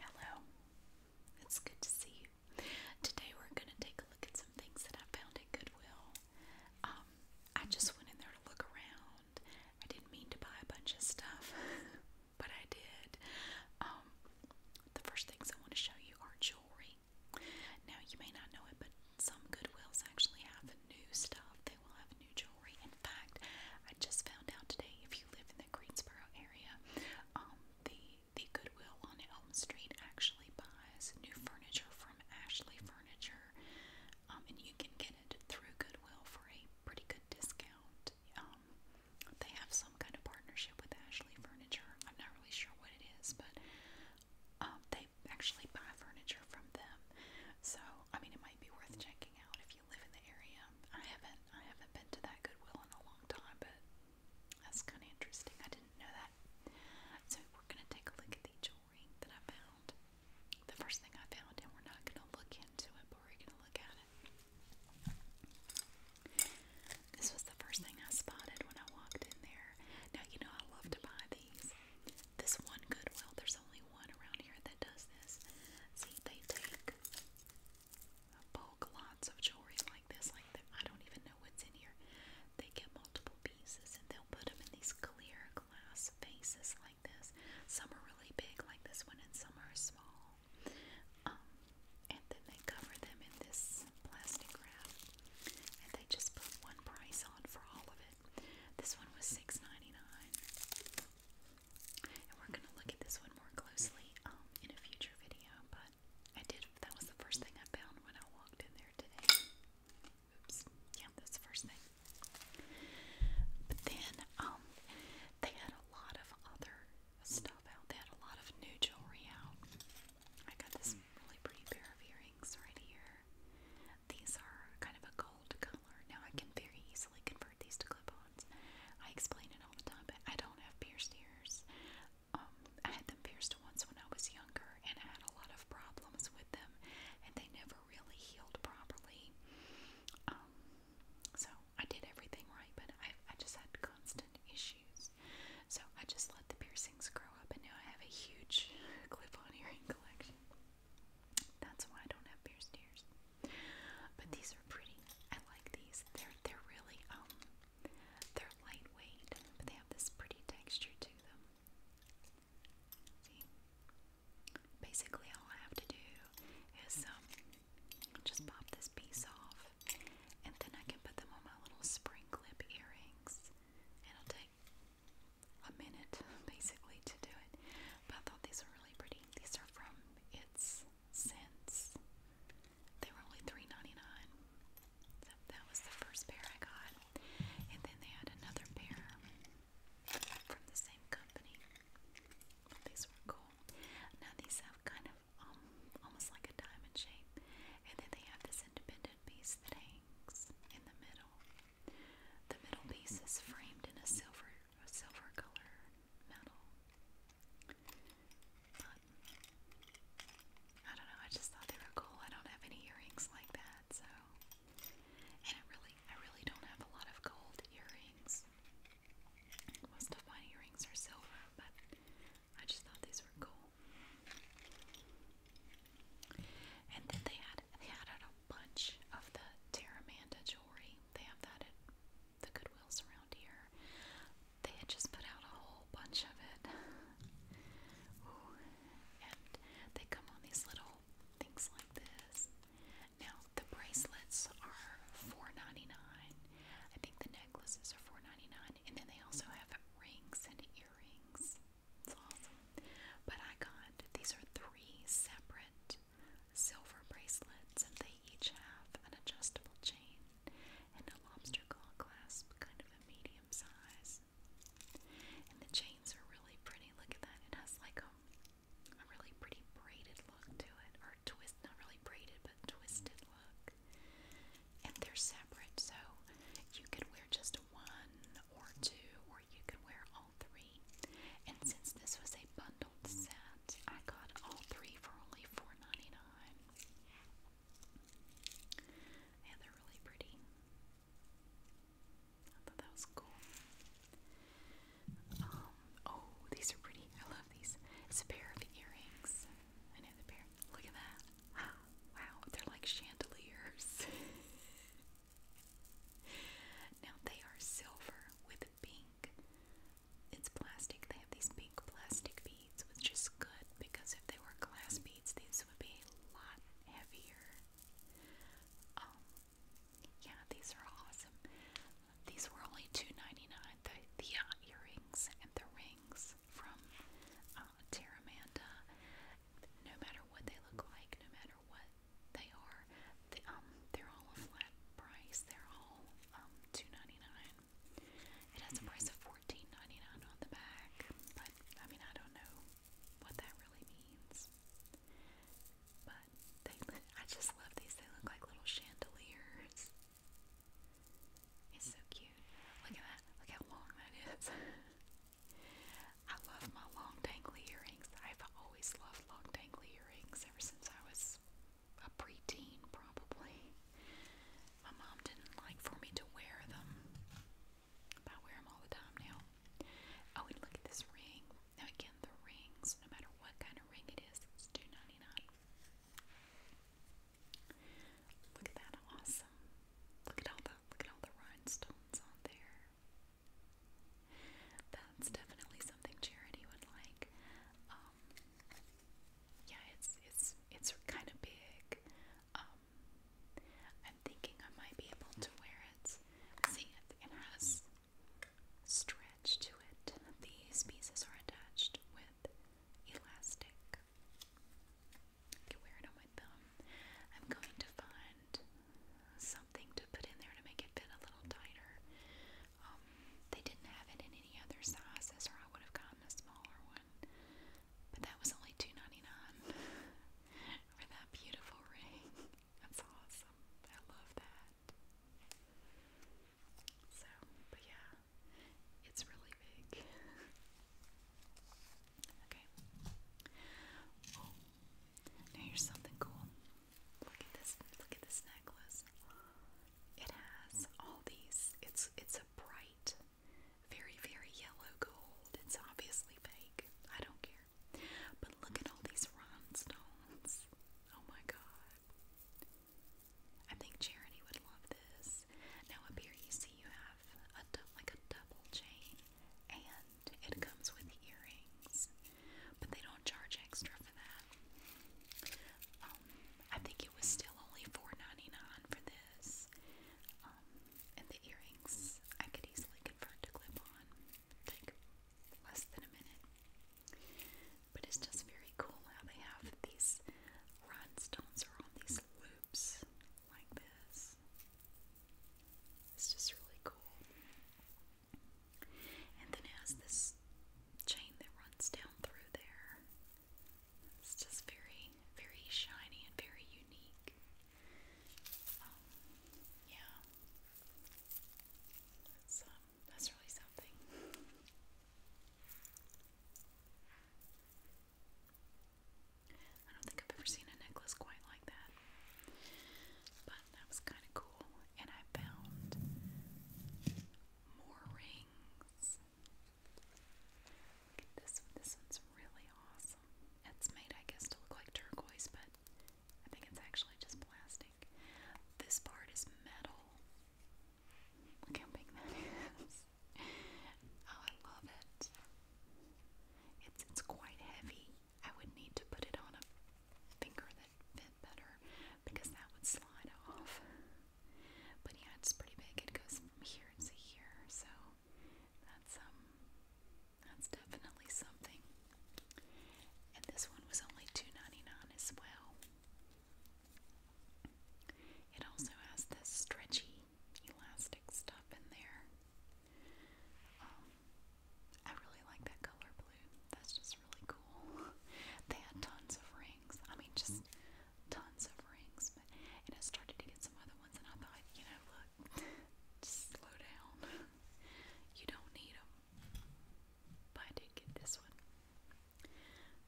Hello, it's good to see you. Today we're going to take a look at some things that I found at Goodwill. Um, I just went in there to look around. I didn't mean to buy a bunch of stuff, but I did. Um, the first things I want to show you are jewelry. Now, you may not know it, but some Goodwills actually have new stuff. They will have new jewelry story. In fact, I just found out today if you live in the Greensboro area, um, the the Goodwill on Elm Street actually buys new furniture from Ashley Furniture, um, and you can get it through Goodwill for a pretty good discount. Um, they have some kind of partnership with Ashley Furniture. I'm not really sure what it is, but um, they actually buy furniture from them. So, I mean, it might be worth checking out if if you live in the area. I haven't I haven't been to that Goodwill in a long time, but that's kind of interesting. I didn't know that. So we're gonna take a look at the jewelry that I found. The first thing I found, and we're not gonna look into it, but we're gonna look at it. This was the first thing I spotted when I walked in there. Now you know I love to buy these. This one Goodwill, there's only one around here that does this. See, they take bulk lots of jewelry like this, like that. I don't even know what's in here. They get multiple pieces and they'll put them in these clear glass vases like this. Some are really big, like this one, and some are small. Um, and then they cover them in this plastic wrap, and they just put one price on for all of it. This one was $6.99 and we're gonna look at this one more closely um, in a future video. But I did. That was the first thing I found when I walked in there today. Oops. Yeah, that's the first thing. But then um, they had a lot of other stuff out. They had a lot of new jewelry out. I got this hmm. really pretty pair of earrings right here. These are kind of a gold color. Now I can very easily convert these to clip I explain it all the time, but I don't have pierced ears. Um, I had them pierced once when I was younger, and I had a lot of problems with them, and they never really healed properly. Um, so I did everything right, but I, just had constant issues. So I just let the piercings grow up, and now I have a huge clip on earring collection. That's why I don't have pierced ears. But these are pretty. I like these. They're they're really um they're lightweight, but they have this pretty texture to them. See? Basically all I have to do is um just pop this piece off and then I can put them on my little spring clip earrings. And it'll take a minute basically to do it. But I thought these were really pretty. These are from It's since They were only three ninety nine, that was the first pair I got. And then they had another pair from the same company. these were cool. Now these have kind of um, almost like a diamond shape. And then they have this independent piece that hangs in the middle. The middle piece is framed in a silver a silver color metal. I don't know, I just thought they were cool. I don't have any earrings like that, so and it really I really don't have a lot of gold earrings. Most of my earrings are silver, but I just thought these were cool. And then they had they had a bunch of the Terramanda jewelry. They have that at the Goodwills around here. They had just put out a whole bunch of it. and they come on these little things like this. Now the bracelets are four ninety nine. I think the necklaces are four ninety nine, and then they also have rings and earrings. It's awesome. But I got these are three separate silver bracelets, and they each have an adjustable chain and a lobster claw clasp, kind of a medium size. And the chains are really pretty. Look at that. It has like a, a really pretty braided look to it, or twist, not really braided, but twisted look. And they're separate, so you could wear just one or two, or you could wear all three. And since this was a bundle set. I got all three for only 4 dollars they're really pretty. I thought that was cool. Um, oh, these are pretty. I love these. It's a pair of earrings. Another pair. Look at that. Wow, they're like chandeliers. now they are silver with pink it's plastic. They have these pink plastic beads, which is good because if they were glass beads, these would be a lot heavier. Um, yeah, these are awesome. These were only $2.99. The, the uh, earrings and the rings from uh, Terramanda. No matter what they look like, no matter what they are, the, um, they're all a flat price. They're all um, two ninety nine. It has a price of fourteen ninety nine on the back, but I mean I don't know what that really means. But they, I just love these. They look like little chandeliers. It's so cute. Look at that. Look how long that is. I love my long dangly earrings. I've always loved long dangly earrings ever since I was a preteen probably. My mom didn't like for me to wear them. I wear them all the time now. Oh, and look at this ring. Now again, the rings, no matter what kind of ring it is, it's its 2 Look at that, awesome. Look at all the look at all the rhinestones on there. That's definitely something Charity would like. Um, um, yeah, it's it's it's kind of big. Um, I'm thinking I might be able to wear it. See, it has stretch to it. These pieces are attached with elastic. I can wear it on my thumb. I'm going to find something to put in there to make it fit a little tighter. Um, they didn't have it in any other sizes, or I would have gotten a smaller one. But that was only 2 for that beautiful ring. That's awesome. I love that. So, but yeah, it's really big. okay. Oh, here's something cool. Look at this. Look at this necklace. It has all these. It's it's a bright, very very yellow gold. It's obviously fake. I don't care. But look at all these rhinestones. Oh my god. I think Charity would love this. Now up here you see you have a like a double chain, and it comes with earrings, but they don't charge extra for that. I think it was still only $4.99 for this. Um, and the earrings I could easily convert to clip on. Take less than a minute. But it's just very cool how they have these rhinestones are on these loops like this. It's just really cool. And then it has this chain that runs down through there. It's just very, very shiny and very unique. Um, yeah. That's, um, that's really something. I don't think I've ever seen a necklace quite like that. But that was kind of cool. And I found more rings. this This one's really awesome. It's made, I guess, to look like turquoise, but I think it's actually just plastic. This part is metal. Look how big that is. Oh, I love it. It's it's quite heavy. I would need to put it on a finger that fit better because that would slide off. But yeah, it's pretty big. It goes from here to here, so that's um that's definitely something. And this one was only two ninety nine as well. It also has this stretchy elastic stuff in there. Um, I really like that color blue. That's just was really cool. They had tons of rings. I mean, just tons of rings. But, and I started to get some other ones, and I thought, you know, look, slow down. You don't need them. But I did get this one.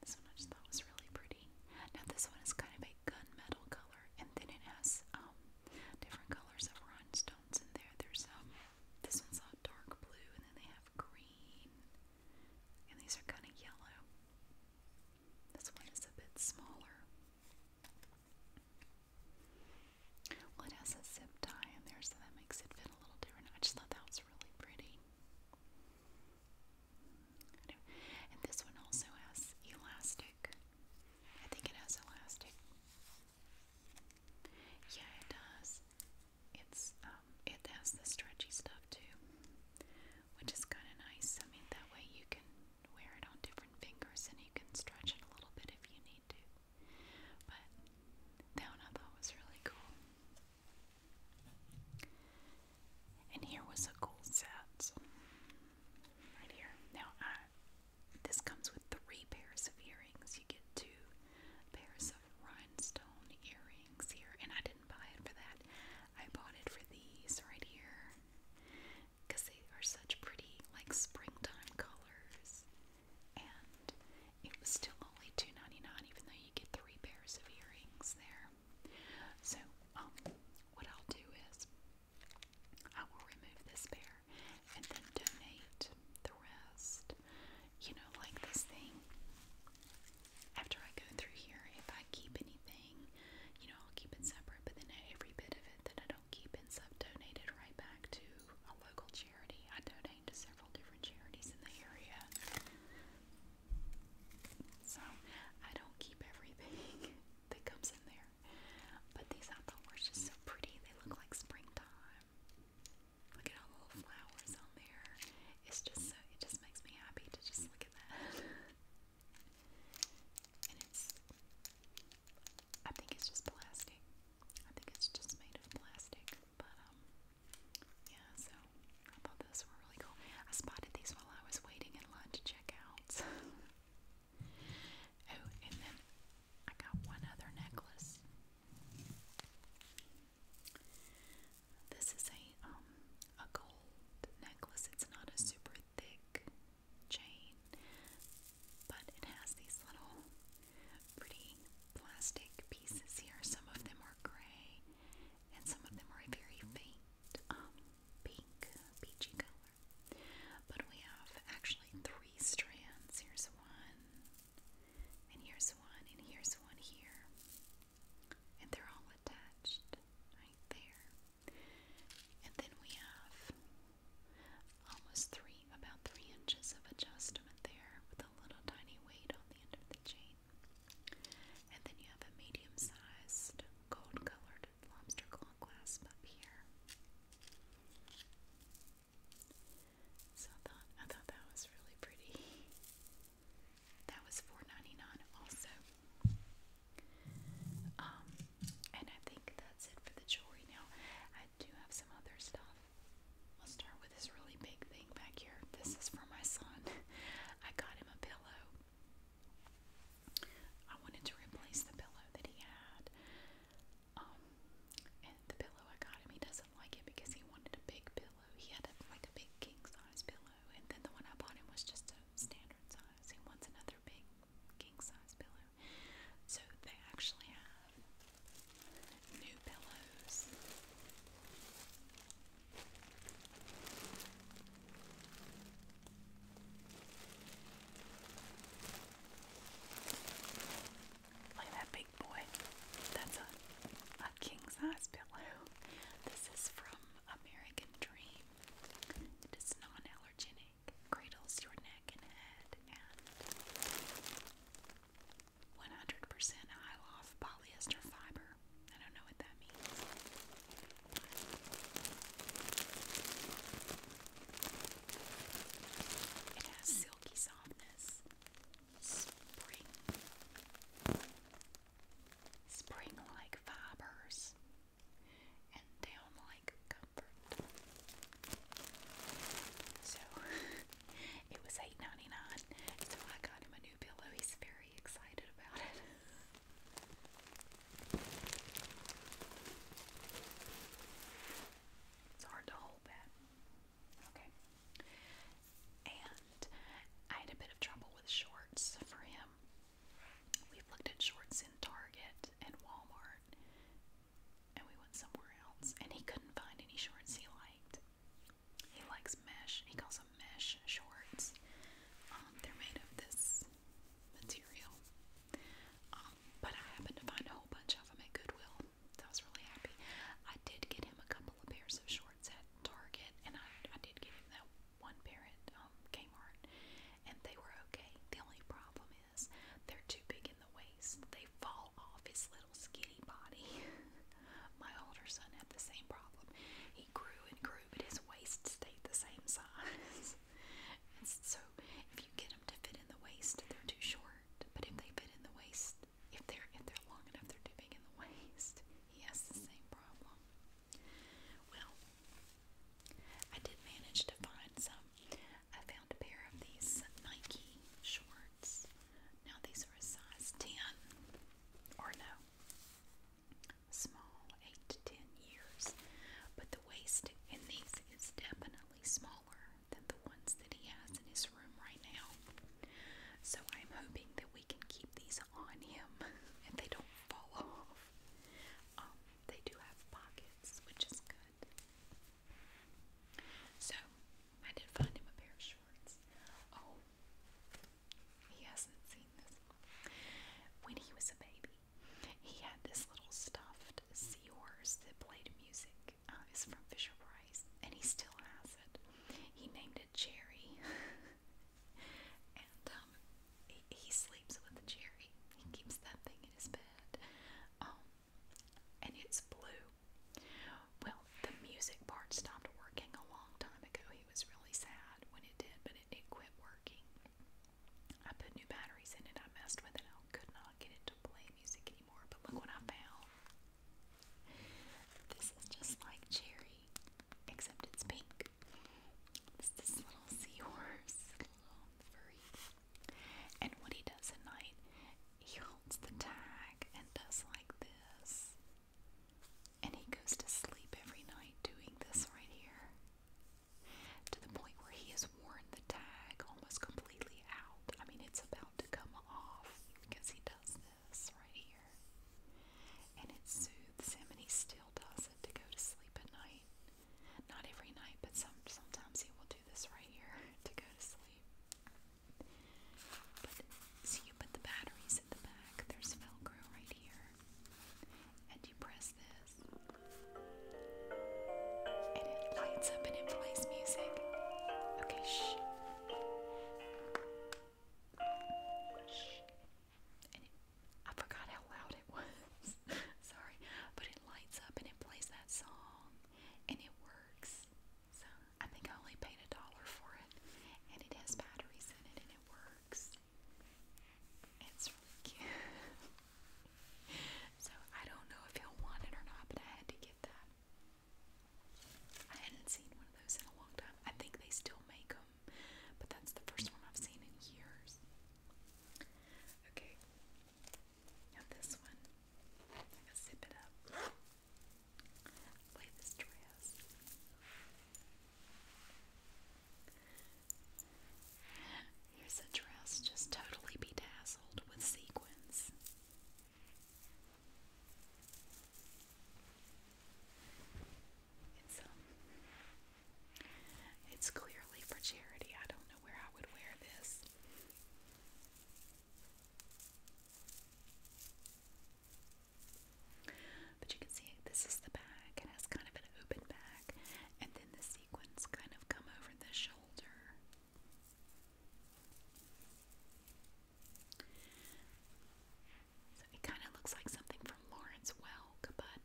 This one I just thought was really pretty. Now, this one is kind of a gunmetal color, and then it has um, different colors of rhinestones in there. There's um, this one's a dark blue, and then they have green and these are kind of yellow. This one is a bit smaller. Well, it has a zip tie in there, so that makes it fit a little different. I just thought that was really pretty. And this one also has elastic. I think it has elastic. Yeah, it does it's um, it has the stretchy stuff too, which is kind of nice. I mean, that way you can wear it on different fingers and you can stretch it a little bit if you need to. But that one I thought was really cool. And here was a cool set right here. Now, I, this comes with three pairs of earrings. You get two pairs of rhinestone earrings here, and I didn't buy it for that. I bought it for these right here because they are such pretty, like springtime colors. And it was still only $2.99, even though you get three pairs of earrings there. So, um, what I'll do is I will remove this pair and then donate the rest. You know, like this thing after I go through here, if I keep anything, you know, I'll keep it separate, but then every bit of it that I don't keep ends up donated right back to a local charity. I donate to several different charities in the area. So I don't keep everything that comes in there. But these I thought were so pretty. They look like springtime. Look at all the little flowers on there. It's just so, it just makes me happy to just look at that. and it's, I think it's just plastic. I think it's just made of plastic. But, um, yeah, so I thought those were really cool. I spotted these while I was waiting in line to check out. oh, and then I got one other necklace. This is a um, a gold necklace. It's not a super thick chain, but it has these little pretty plastic pieces here. Some of them are gray, and some of them are a very faint um pink peachy color. But we have actually three strands. Here's one, and here's one, and here's one here and they're all attached right there. And then we have almost three, about three inches of adjustment there with a little tiny weight on the end of the chain. And then you have a medium sized gold colored lobster clasp up here. So I thought that was really pretty. That was 4 also. Um, and I think that's it for the jewelry now. I do have some other stuff. I'll start with this really big thing back here. This is for my son. I got him a pillow. I wanted to replace the pillow that he had. Um, the pillow I got him, he doesn't like it because he wanted a big pillow. He had like a big king size pillow pillow, and then the one I bought him was just a standard size. He wants another big king size pillow. So they actually have new pillows. Look at that big boy. That's a a king size pillow. This is from American Dream. It is non-allergenic. Cradles your neck and head and 100% high-loft polyester fiber. I don't know what that means. It has silky softness, spring, spring like fibers and down like comfort. So it was eight ninety-nine. so I got him a new pillow. He's very excited about it. It's hard to hold that. Okay and I had a bit of trouble with shorts for him. we looked at shorts in Target and Walmart, and we went somewhere else, and he couldn't find any shorts he liked. He likes mesh, he calls them mesh shorts. Um, they're made of this material. Um, but I happened to find a whole bunch of them at Goodwill, so was really happy. I did get him a couple of pairs of shorts shorts at Target, and I, I did get him that one pair at um, Kmart, and they were okay. The only problem is they're too big in the waist. They fall off his little skinny body. My older son had the same problem. He grew and grew, but his waist stayed the same size. so if you get them to fit in the waist, they're too short. But if they fit in the waist, if they're if they're long enough, they're too big in the waist. He has the same problem. Well, I did manage to find some. I found a pair of these Nike shorts. Now, these are a size 10 or no, small, 8 years. But the waist in these is definitely smaller than the ones that he has in his room right now. So I'm hoping that we can keep these on him and they don't fall off. Um, they do have pockets, which is good. So, I did find him a pair of shorts. Oh, he hasn't seen this When he was a baby, he had this little stuffed seahorse that played music. Uh, it's from Fisher Price, and he still has it. He named it Cherry. and um, he, sleeps with the cherry. He keeps that thing in his bed, um, and it's blue. Well, the music part stopped working a long time ago. He was really sad when it did, but it, it quit working. I put new batteries in it. I messed with it. I could not get it to play music anymore. But look what I found. This is just like Cherry except it's pink. It's this little seahorse, furry. And what he does at night, he holds the tag and does like this. And he goes to sleep every night doing this right here. To the point where he has worn the tag almost completely out. I mean, it's about to come off because he does right here. And it soothes him, and he still does it to go to sleep at night. Not every night, but some sometimes he will do this right here to go to sleep. But you put the batteries at the back. There's Velcro right here, and you press this, and it lights up and it plays music. Okay, shh. And it, I forgot how loud it was. Sorry. But it lights up and it plays that song and it works. So I think I only paid a dollar for it. And it has batteries in it and it works. It's really cute. so I don't know if he'll want it or not, but I had to get that. I hadn't seen one of those in a long time. I think they still make them. But that's the first one I've seen in years. Okay. Now this one. I'm gonna zip it up. Lay this dress. Here's a dress just totally bedazzled with sequins. Um, it's clearly for charity. I don't know where I would wear this. But you can see this is the back. It has kind of an open back and then the sequins kind of come over the shoulder it kind of looks like something from Lawrence Welk, but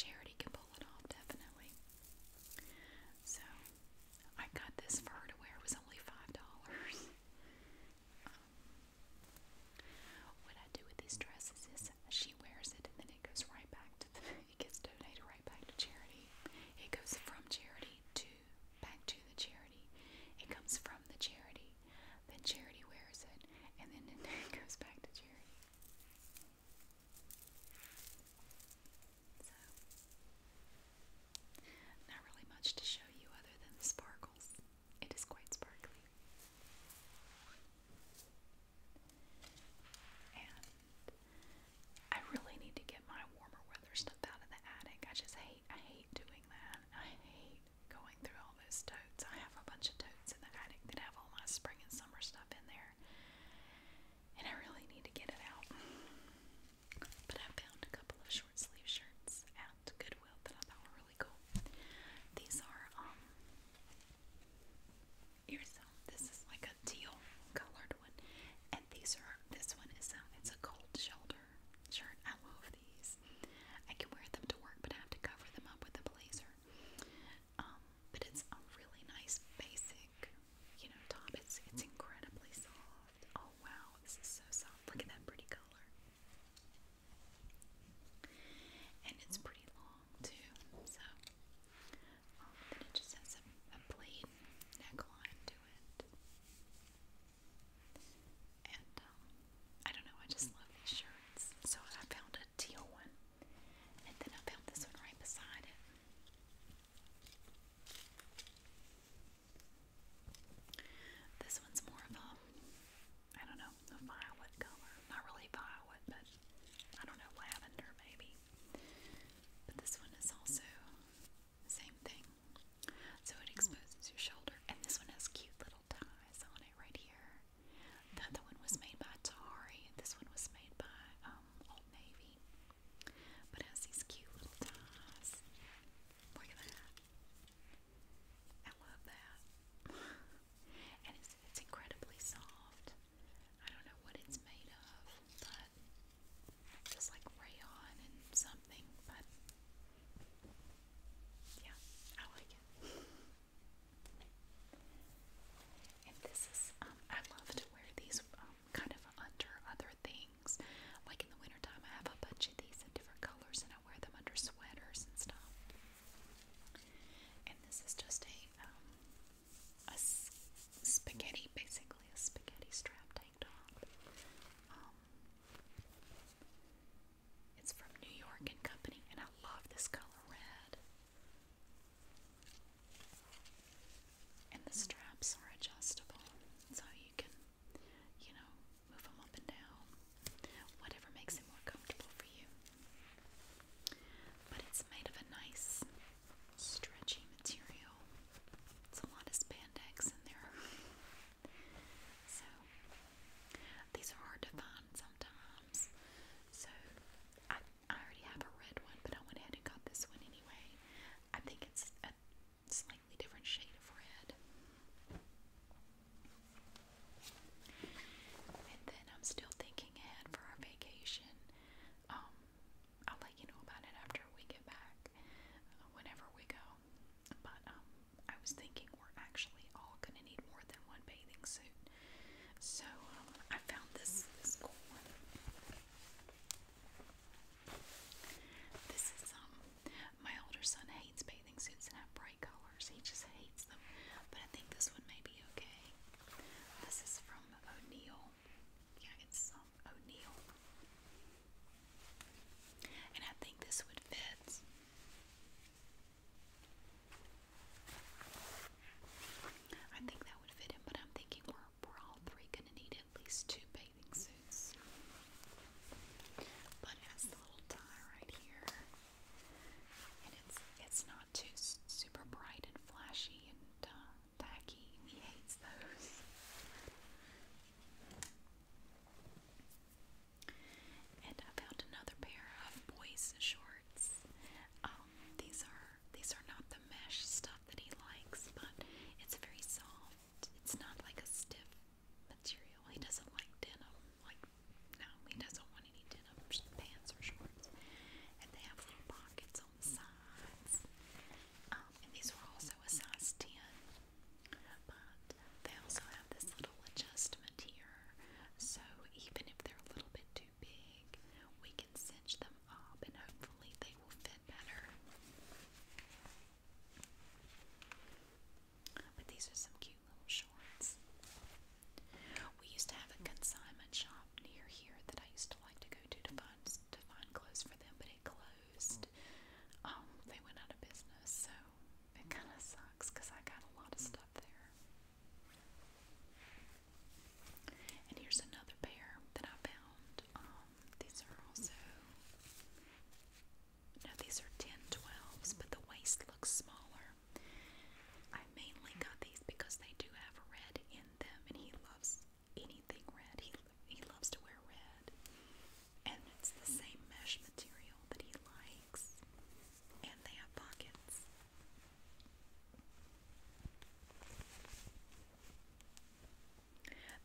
Charity can pull it off definitely. So I got this for her to wear. It was only five dollars. Um, what I do with these dresses is she wears it, and then it goes right back to the, it gets donated right back to charity. It goes from charity to back to the charity. It comes from the charity then Charity wears it, and then it goes back to Charity. So, not really much to show you other than the sparkles. It is quite sparkly. And I really need to get my warmer weather stuff out of the attic. I just hate I hate doing that. I hate going through all those totes. I have a bunch of totes in the attic that have all my spring and summer stuff in there. And I really need to get it out. But I found a couple of short sleeve shirts at Goodwill that I thought were really cool. These are um ears. This is like a teal colored one, and these are this one is a it's a cold shoulder blazer I love these. I can wear them to work, but I have to cover them up with a blazer. Um, but it's a really nice basic, you know, top. It's it's incredibly soft. Oh wow, this is so soft. Look at that pretty color. And it's pretty long too. So um, it just has a, a plain neckline to it. And um, I don't know, I just love these shirts. So I found a teal one, and then I found this one right beside it. This one's more of a, I don't know, a violet color. Not really violet, but I don't know, lavender maybe. But this one is also the same thing. So it exposes your shoulder, and this one has cute little ties on it right here. The other one was made by Atari, and this one was made by um, Old Navy. But it has these cute little ties. Look at that. I love that. and it's, it's incredibly soft. I don't know what it's made of, but it's like rayon and something, yeah, I like it. And this is, um, I love to wear these um, kind of under other things. Like in the wintertime, I have a bunch of these in different colors and I wear them under sweaters and stuff. And this is just a, um, a spaghetti, basically a spaghetti strap tank top. It's from New York and Company, and I love this color red. And the straps are adjustable, so you can, you know, move them up and down, whatever makes it more comfortable for you. But it's made of a nice, stretchy material. It's a lot of spandex in there. So these are hard to find sometimes. So I I already have a red one, but I went ahead and got this one anyway. I think it's a slightly different shade of red. And then I'm still thinking ahead for our vacation. Um, I'll let you know about it after we get back, uh, whenever we go. But um, I was thinking we're actually all gonna need more than one bathing suit. So um, I found this this cool one. This is um my older son hates bathing suits that bright colors. He just hates them. But I think this one may be okay. This is from O'Neill. Yeah, it's um, O'Neill. And I think this would fit. I think that would fit him, but I'm thinking we're, we're all three going to need at least two bathing suits. But it has the little tie right here, and it's it's not too super bright and flashy and uh, tacky. He hates those. And I found another pair of boys' shorts. Um, these are these are not the mesh stuff that he likes, but it's very soft. It's not like a stiff material. He doesn't like denim. Like no, he doesn't want any denim pants or shorts. And they have little pockets on the sides. Um, and these were also a size ten, but they also this little adjustment here. So even if they're a little bit too big, we can cinch them up and hopefully they will fit better. But these are some cute little shorts. We used to have a consignment shop near here that I used to like to go to to find to find clothes for them, but it closed. Um, they went out of business, so it kind of sucks because I got a lot of stuff there. And here's another pair that I found. Um, these are also. No, these are 10 but the waist looks smaller. I mainly got these because they do have red in them, and he loves anything red. He he loves to wear red, and it's the same mesh material that he likes and they have pockets.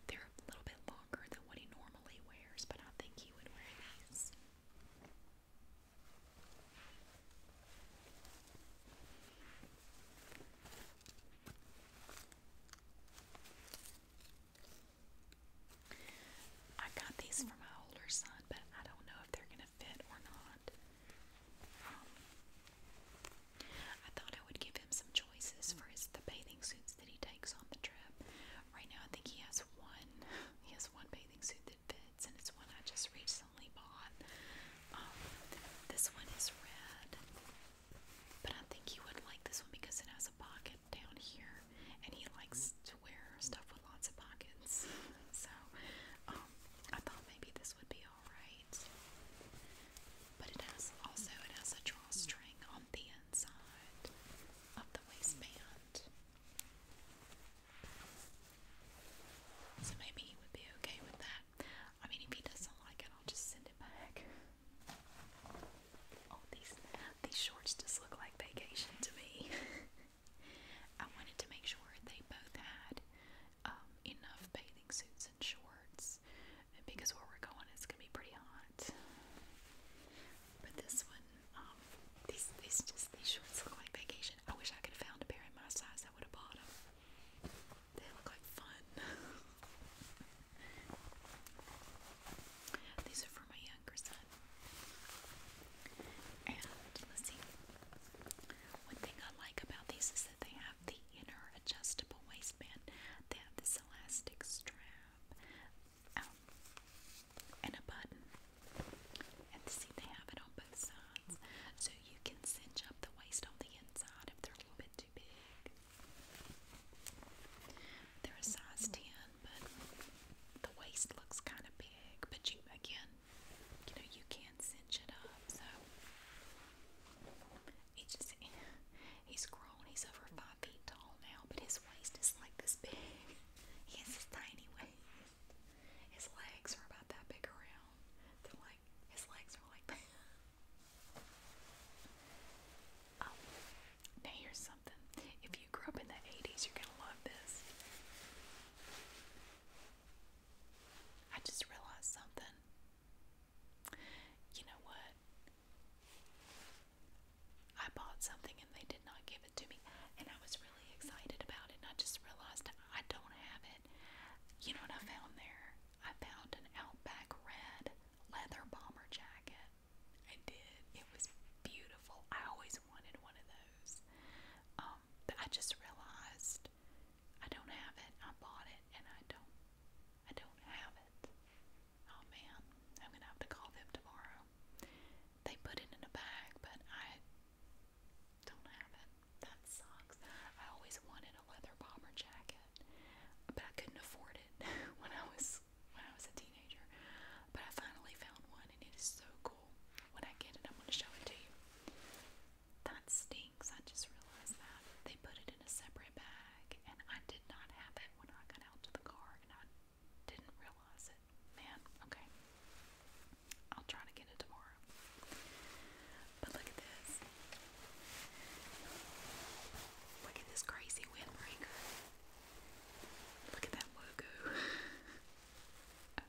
They're a little bit longer than what he normally wears, but I think he would wear these. I got these for my older son, but I don't know if they're going to fit or not. Um, I thought I would give him some choices for his the bathing suits that he takes on the trip. Right now, I think he has one. He has one bathing suit that fits, and it's one I just recently bought. Um, this one is red, but I think he would like this one because it has a pocket down here and he likes to wear stuff with lots of pockets. So um, I thought maybe this would be all right, but it has also it has a drawstring on the inside of the waistband, so maybe he would be okay with that. I mean, if he doesn't like it, I'll just send it back. Oh, these these shorts just look like vacation to me. I wanted to make sure they both had um, enough bathing suits and shorts because where we're going it's gonna be pretty hot. But this one, um, these these just these shorts look like vacation. I wish I could have found a pair in my size. I would have bought them. They look like fun. these are for my one thing I like about these is that they have the inner adjustable waistband. They have this elastic strap um, and a button. And they have it on both sides. So you can cinch up the waist on the inside if they're a little bit too big. They're a size 10 but the waist looks kind of big. But you, again, you know, you can cinch it up. So he just, he's grown. He's over five feet tall now, but his waist is like this big. He has this tiny waist. His legs are about that big around. They're like, his legs are like oh, now here's something. If you you grew up in the 80s, you're gonna love this. I just realized something. You know what? I bought something and they did not give it to me, and I was really excited about it, and I just realized I don't have it. You know what I found there? I found an Outback Red leather bomber jacket. I did. It was beautiful. I always wanted one of those. Um, but I just realized I don't have it. I bought it and I don't I don't have it. Oh man, I'm gonna have to call them tomorrow. They put it in a bag, but I don't have it. That sucks. I always wanted a leather bomber jacket, but I couldn't afford it when I was when I was a teenager. But I finally found one and it is so cool. When I get it, I'm going to show it to you. That stinks. I just realized that. They put it in a separate bag and I did not have it when I got out to the car and I didn't realize it. Man, okay. I'll try to get it tomorrow. But look at this. Look at this crazy windbreaker. Look at that logo.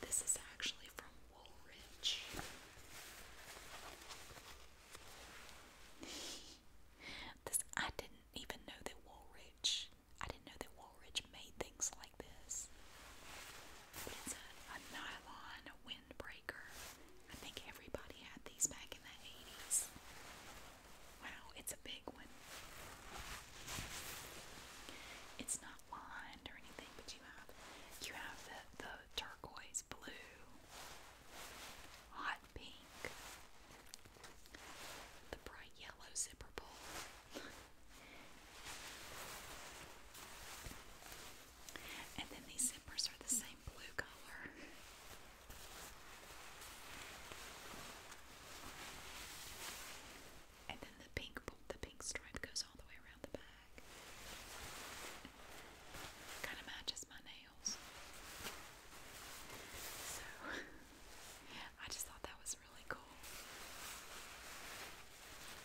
this is actually from Woolrich. this I didn't even know that Woolrich. I didn't know that Woolrich made things like this. it's a nylon windbreaker. I think everybody had these back in the 80s. Wow, it's a big one. It's not lined or anything, but you have you have the, the turquoise blue, hot pink, the bright yellow zipper pull. And then these zippers are the same blue color. And then the pink the pink stripe goes all the way around the back. Kind of matches my nails. So I just thought that was really cool.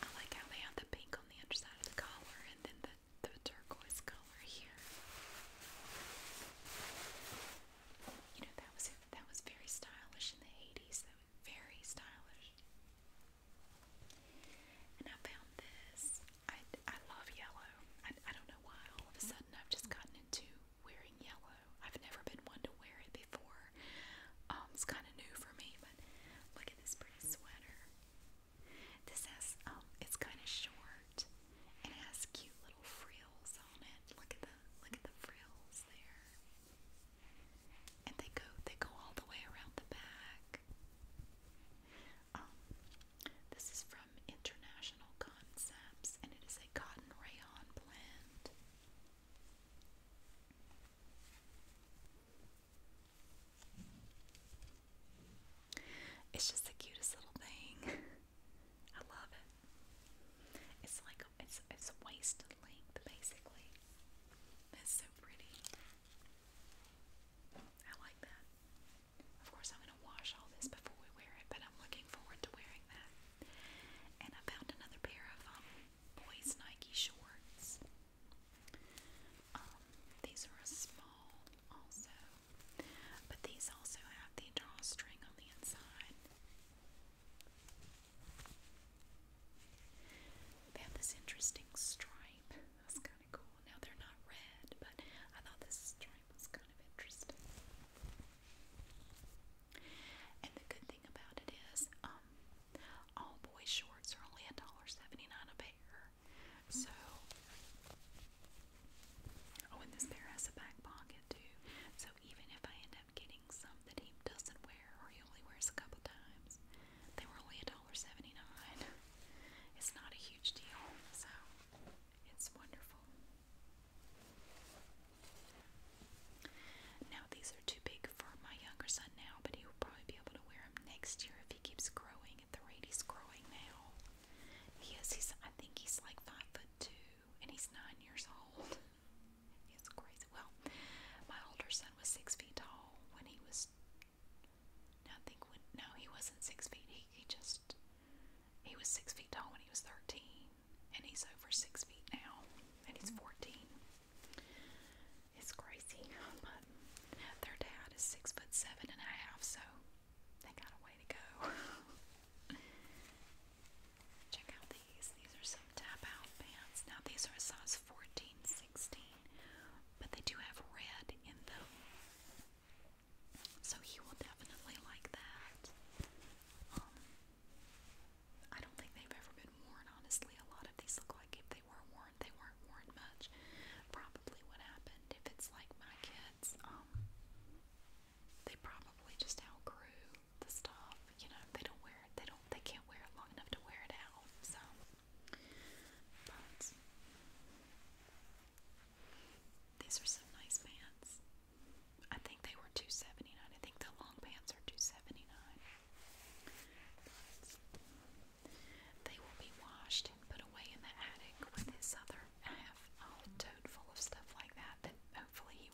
I like how they have the pink on the underside of the collar and then the the turquoise color here you know that was that was very stylish in the 80s. That was very stylish. And I found this. I, I love yellow. I, I don't know why all of a sudden I've just gotten into wearing yellow. I've never been one to wear it before. Um, it's kind of new for me, but look at this pretty sweater. This has um, it's kind of short. And has cute little frills on it. Look at the look at the frills there. And they go they go all the way around the back. Um, this is from International Concepts and it is a cotton rayon blend. It's just the cutest little thing. I love it. It's like a, it's it's waist length basically. That's so pretty. I like that. Of course, I'm gonna wash all this before we wear it, but I'm looking forward to wearing that. And I found another pair of um, boys Nike shorts. Um, these are a small also. But these also have the drawstring on the inside. They have this interesting stripe. That's kind of cool. Now they're not red, but I thought this stripe was kind of interesting. And the good thing about it is, um, all boys' shorts are only a dollar seventy-nine a pair. So, oh, and this pair has a back pocket too, so even if I end up getting some that he doesn't wear or he only wears a couple times, they were only $1.79. It's not a huge deal, so it's wonderful. Now, these are too big for my younger son now, but he will probably be able to wear them next year if he keeps growing at the rate he's growing now. He is, he's, I think he's like 5 foot 2, and he's nine years old. it's crazy. Well, my older son was six feet tall when he was. I think when no, he wasn't six feet. He he just he was six feet tall when he was thirteen, and he's over six feet now, and he's fourteen. It's crazy, but their dad is six foot seven and a half, so they got a way to go. Check out these. These are some tap out pants. Now these are a size 14, 16, but they do have red in them. So he will definitely like that. Um, I don't think they've ever been worn, honestly. A lot of these look like if they were worn, they weren't worn much. Probably what happened if it's like my kids, um, they probably just outgrew the stuff. You know, they don't wear it. They don't. They can't wear it long enough to wear it out. So, but these are some nice pants. I think they were two seventy nine. I think the long pants are two seventy nine. They will be washed and put away in the attic with his other. I have a whole tote full of stuff like that that hopefully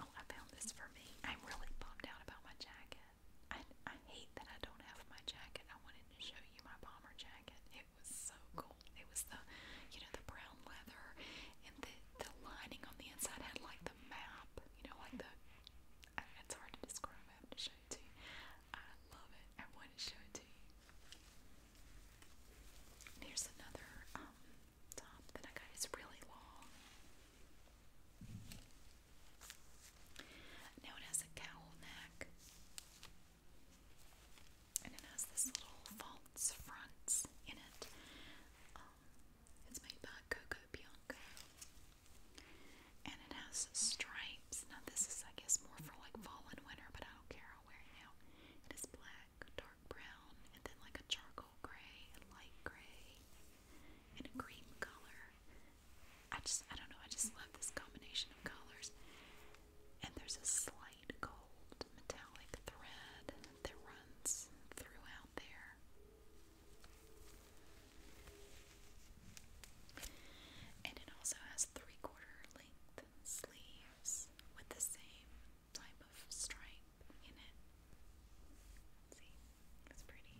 Oh, I found this for me. I'm really bummed out about my jacket. I, hate that I don't have my jacket. I wanted to show you my bomber jacket. It was so cool. It was the, you know, the brown leather, and the the lining on the inside had like the map. You know, like the. It's hard to describe. I have to show it to you. I love it. I want to show it to you. And here's another um, top that I got. It's really long. Now it has a cowl neck. And it has this little false fronts in it. Um, it's made by Coco Bianco. And it has stripes. Now this is I guess more for like fall and winter, but I don't care wearing now. It is black, dark brown, and then like a charcoal gray, light gray, and a cream color. I just, I don't know, I just love this combination of colors. And there's a slight gold metallic thread that runs throughout there. And it also has three quarter sleeves with the same type of stripe in it. See, it's pretty.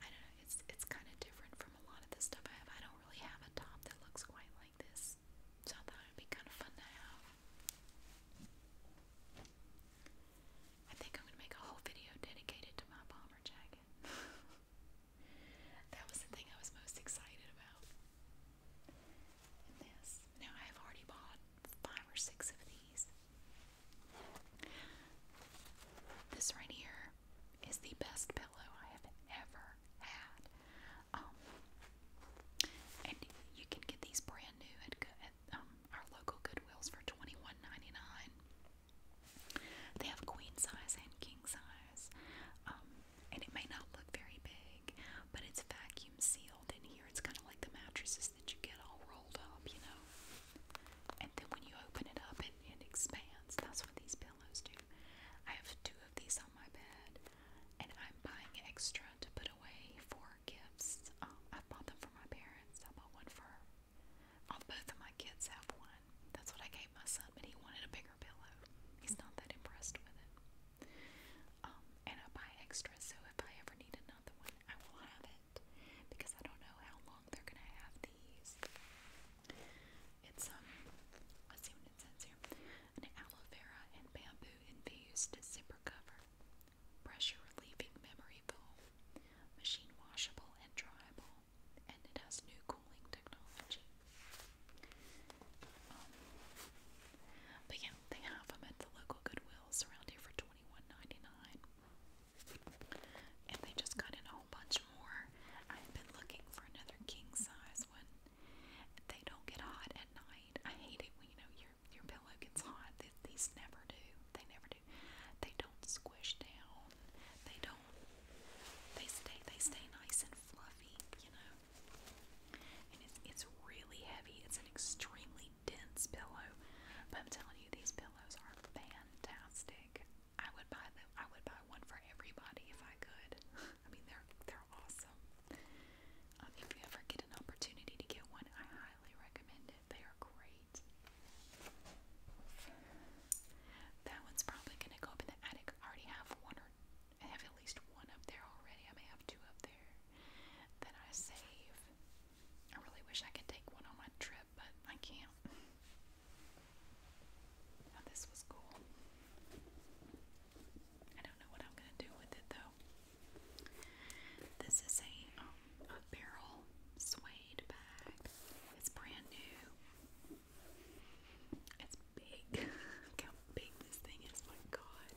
I don't know, it's it's kind of different from a lot of the stuff I have. I don't really have a top that looks quite like this. So I thought it would be kind of fun to have. I think I'm gonna make a whole video dedicated to my bomber jacket. That was the thing I was most excited about. Now I have already bought five or six of these. This right here is the best pillow I have ever had. Um, and you can get these brand new at, um, our local Goodwills for 21 they have queen size and king size, um, and it may not look very big, but it's vacuum sealed in here. It's kind of like the mattresses that you get all rolled up, you know. And then when you open it up, it, it expands. That's what these pillows do. I have two of these on my bed, and I'm buying extra to put away for gifts. Um, I bought them for my parents. I bought one for Oh, both of my kids have one. That's what I gave my son, but he wanted a bigger pillow. He's not that impressed with it. Um, and I buy extra, so if I ever need another one, I will have it because I don't know how long they're gonna have these. It's um, let's see what it says here: an aloe vera and bamboo infused zipper cover, pressure relieving memory foam, machine washable and dryable, and it has new cooling technology. Um, but yeah, they have them at the local Goodwills around here for 21 And they just got in a whole bunch more. I've been looking for another king size one. They don't get hot at night. I hate it when you know your your pillow gets hot. These never do. They never do. They don't squish down. They don't they stay they stay nice and fluffy, you know. And it's it's really heavy. It's an extremely dense pillow. But I'm telling you, these pillows are fantastic. I would buy them. I would buy one for everybody if I could. I mean, they're they're awesome. Um, if you ever get an opportunity to get one, I highly recommend it. They are great. That one's probably gonna go up in the attic. I already have one or I have at least one up there already. I may have two up there that I save. I really wish I could take one on my trip, but I can't. this was cool. I don't know what I'm gonna do with it though. This is a um, barrel suede bag. It's brand new. It's big. Look how big this thing is, my god.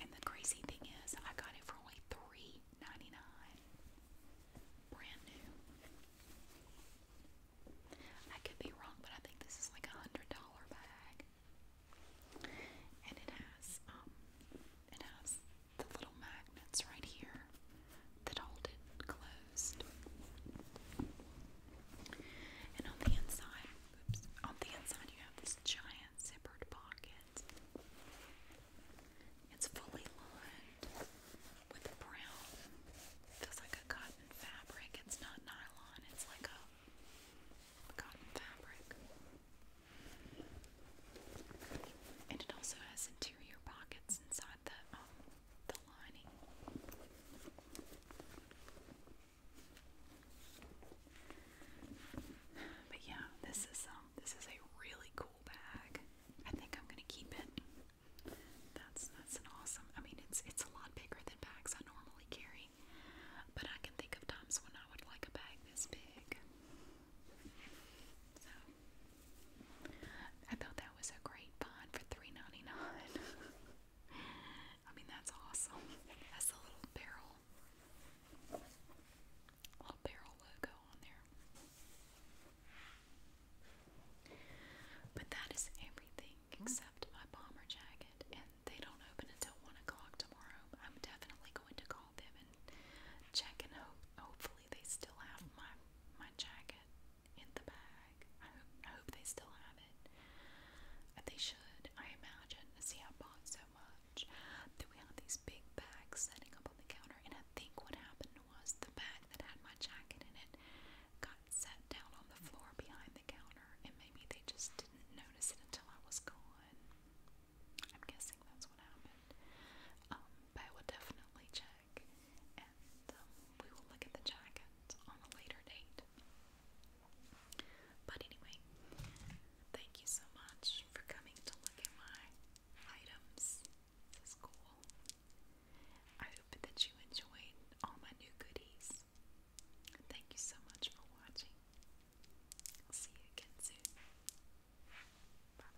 And the crazy thing is I got it for only three ninety nine. Brand new. I could be wrong, but I think this is like a hundred dollar bag. And it has um it has the little mag that's right here that hold it closed. And on the inside, oops, on the inside you have this giant zippered pocket. It's fully lined with brown, feels like a cotton fabric. It's not nylon, it's like a, cotton fabric. And it also has interior pockets inside the um, but yeah, this is um this is a really cool bag. I think I'm gonna keep it. That's that's an awesome I mean it's it's a lot bigger than bags I normally carry. But I can think of times when I would like a bag this big. So I thought that was a great bond for $3.99. I mean, that's awesome. That's a little barrel, little barrel logo on there. But that is everything except my bomber jacket, and they don't open until one o'clock tomorrow. I'm definitely going to call them and check and hope. Hopefully, they still have my my jacket in the bag. I hope, I hope they still have it. Uh, they should, I imagine. See, I bought so much that we had these big bags setting up on the counter, and I think what happened was the bag that had my jacket in it got set down on the floor behind the counter, and maybe they just didn't notice it until I was gone. I'm guessing that's what happened. Um, but I will definitely check and um, we will look at the jacket on a later date. But anyway, thank you so much for coming to look at my items. This is cool. I hope that you enjoyed all my new goodies. Thank you so much for watching. I'll see you again soon. bye.